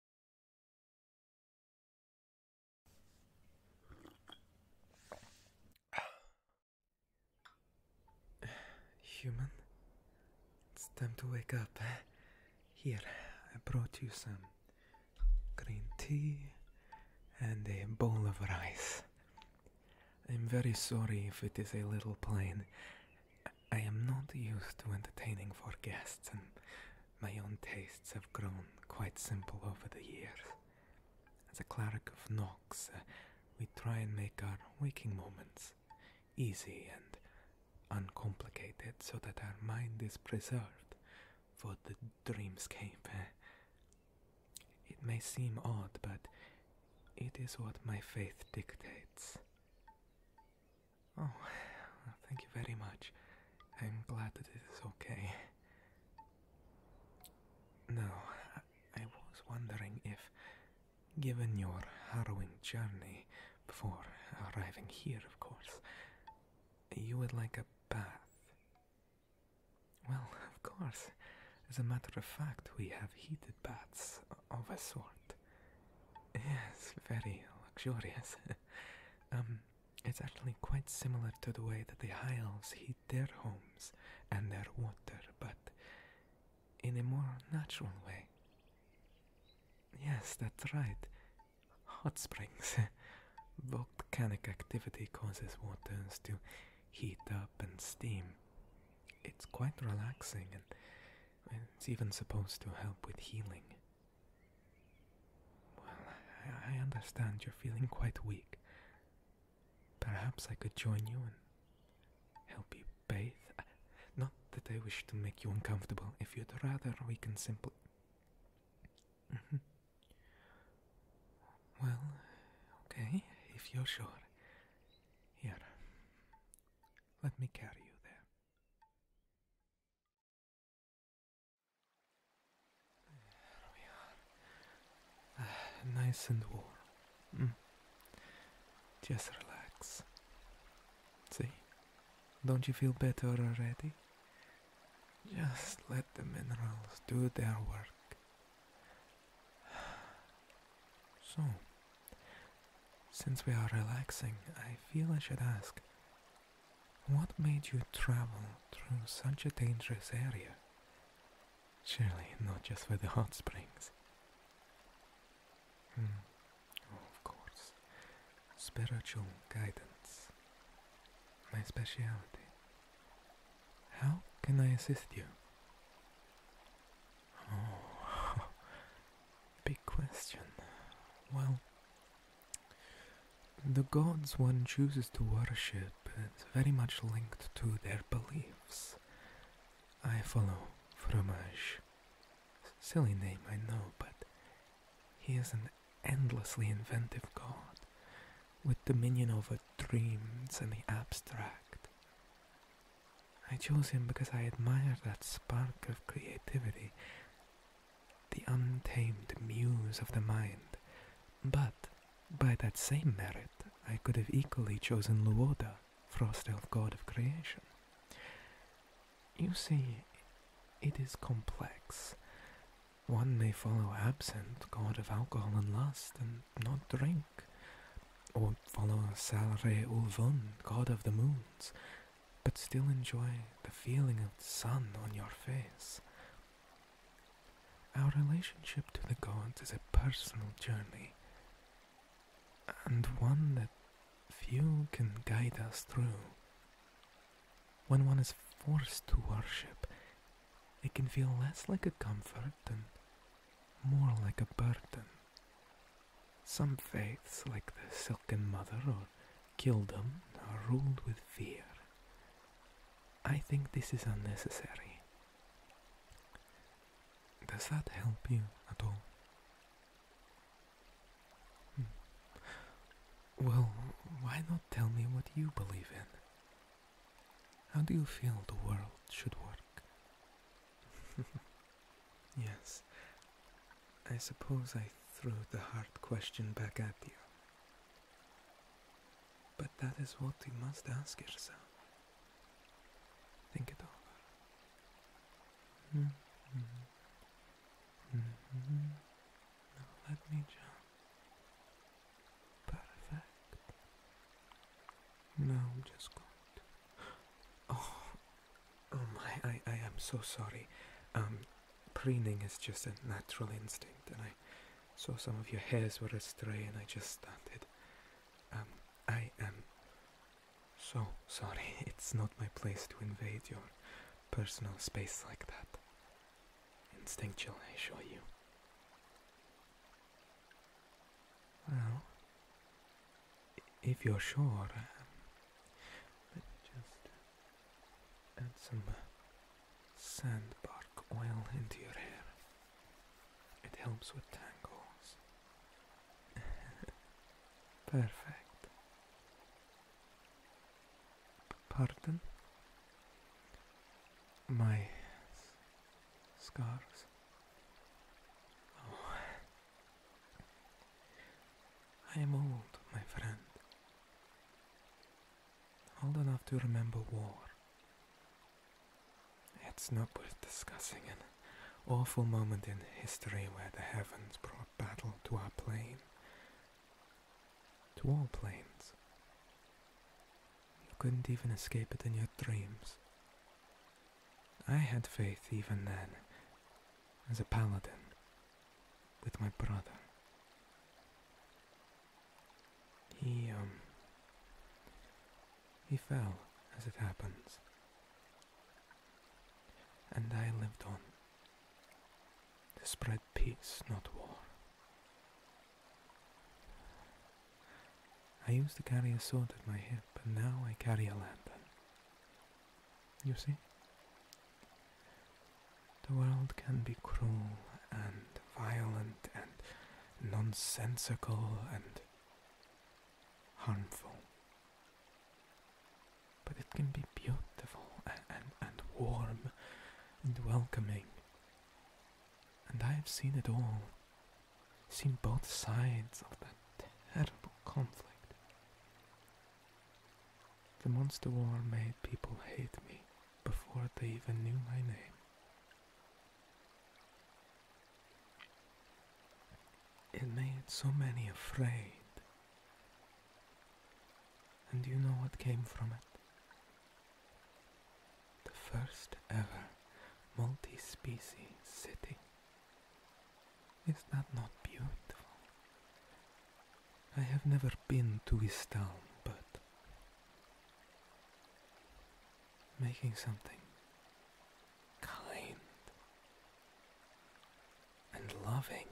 Human, it's time to wake up. Eh? Here, I brought you some green tea and a bowl of rice. I'm very sorry if it is a little plain. I am not used to entertaining for guests, and my own tastes have grown quite simple over the years. As a cleric of Nox, uh, we try and make our waking moments easy and uncomplicated so that our mind is preserved for the dreamscape. Eh? It may seem odd, but it is what my faith dictates. Oh, thank you very much. I'm glad that it is okay. Now, I was wondering if, given your harrowing journey before arriving here, of course, you would like a bath. Well, of course. As a matter of fact, we have heated baths of a sort. Yes, very luxurious. um, it's actually quite similar to the way that the high heat their homes and their water, but in a more natural way. Yes, that's right. Hot springs. Volcanic activity causes waters to heat up and steam. It's quite relaxing and it's even supposed to help with healing. Well, I, understand you're feeling quite weak. Perhaps I could join you and help you bathe. Uh, not that I wish to make you uncomfortable. If you'd rather, we can simply. Mm-hmm. Well, okay, if you're sure. Here, let me carry you there. nice and warm. Mm. Just relax. See? Don't you feel better already? Just let the minerals do their work. So, since we are relaxing, I feel I should ask what made you travel through such a dangerous area? Surely not just for the hot springs. Hmm, oh, of course. Spiritual guidance. My specialty. How can I assist you? Oh, Big question. Well, the gods one chooses to worship is very much linked to their beliefs. I follow Fromage. Silly name, I know, but he is an endlessly inventive god, with dominion over dreams and the abstract. I chose him because I admired that spark of creativity, the untamed muse of the mind. But by that same merit, I could have equally chosen Luoda, frost elf god of creation. You see, it is complex. One may follow absent, god of alcohol and lust, and not drink, or follow Salre Ulvun, god of the moons, but still enjoy the feeling of the sun on your face. Our relationship to the gods is a personal journey, and one that few can guide us through. When one is forced to worship, it can feel less like a comfort and more like a burden. Some faiths, like the Silken Mother or Kildom, are ruled with fear. I think this is unnecessary. Does that help you at all? Hmm. Well, why not tell me what you believe in? How do you feel the world should work? Yes. I suppose I threw the hard question back at you. But that is what you must ask yourself. Think it over. Mm-hmm. Mm-hmm. let me jump. Perfect. Now I'm just going to Oh, oh my, I, am so sorry. Um, preening is just a natural instinct, and I saw some of your hairs were astray, and I just started. Um, I am so sorry. It's not my place to invade your personal space like that. Instinctual, I assure you. Well, if you're sure, let me uh, just add some uh, sandbark oil into your hair. It helps with tangles. Perfect. Pardon? My scars? Oh, I am old, my friend. Old enough to remember war. It's not worth discussing an awful moment in history where the heavens brought battle to our plane. To all planes. You couldn't even escape it in your dreams. I had faith even then, as a paladin, with my brother. He, um. He fell, as it happens. And I lived on. To spread peace, not war. I used to carry a sword at my hip, but now I carry a lantern. You see? The world can be cruel and violent and nonsensical and harmful. But it can be beautiful and, warm and welcoming. And I have seen it all seen both sides of that terrible conflict. The monster war made people hate me before they even knew my name. It made so many afraid. And you know what came from it? The first ever multi species city is that not beautiful? I have never been to his town, but making something kind and loving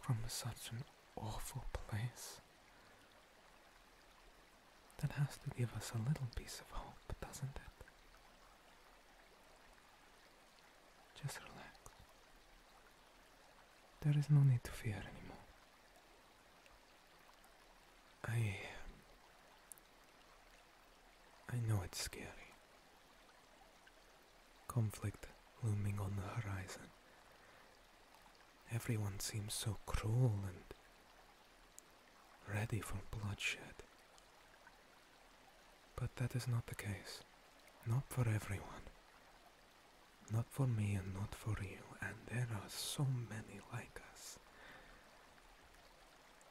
from such an awful place. That has to give us a little piece of hope, doesn't it? Just relax. There is no need to fear anymore. I. Um, I know it's scary. Conflict looming on the horizon. Everyone seems so cruel and ready for bloodshed. But that is not the case. Not for everyone. Not for me and not for you, and there are so many like us.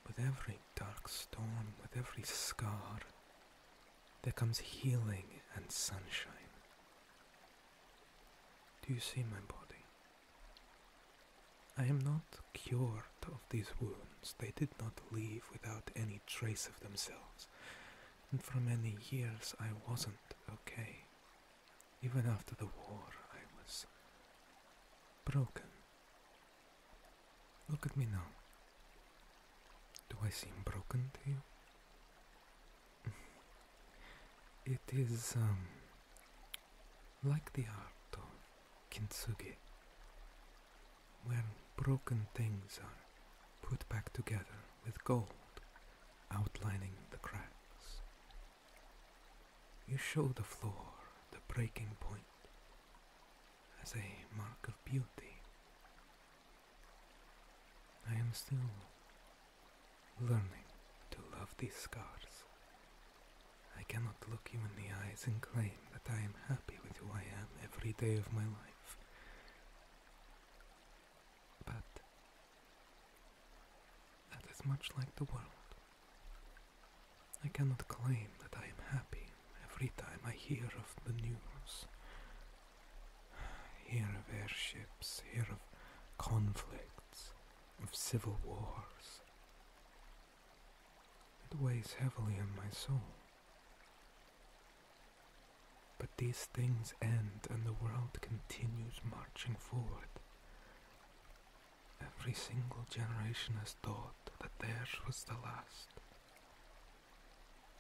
With every dark storm, with every scar, there comes healing and sunshine. Do you see my body? I am not cured of these wounds. They did not leave without any trace of themselves. And for many years I wasn't okay. Even after the war, I was broken. Look at me now. Do I seem broken to you? it is um, like the art of kintsugi, When broken things are put back together with gold, outlining the cracks. You show the floor the breaking point as a mark of beauty. I am still learning to love these scars I cannot look you in the eyes and claim that I am happy with who I am every day of my life. But that is much like the world. I cannot claim that I am happy every time I hear of the news. Hear of airships, hear of conflicts, of civil wars, it weighs heavily on my soul. But these things end and the world continues marching forward. Every single generation has thought that theirs was the last.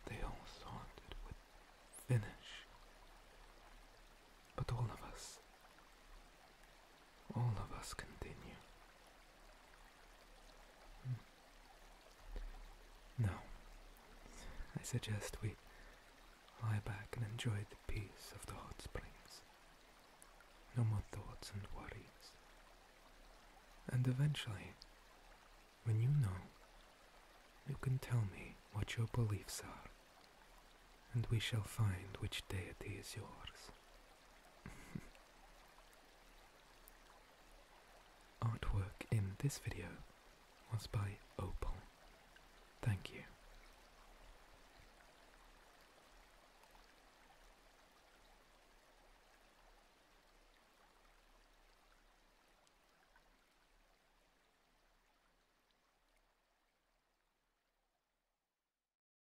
They all thought it would finish. But all of us, all of us continue. Hmm. No, I suggest we lie back and enjoy the peace of the hot springs. No more thoughts and worries. And eventually, when you know, you can tell me what your beliefs are, and we shall find which deity is yours. Artwork in this video was by Opal. Thank you.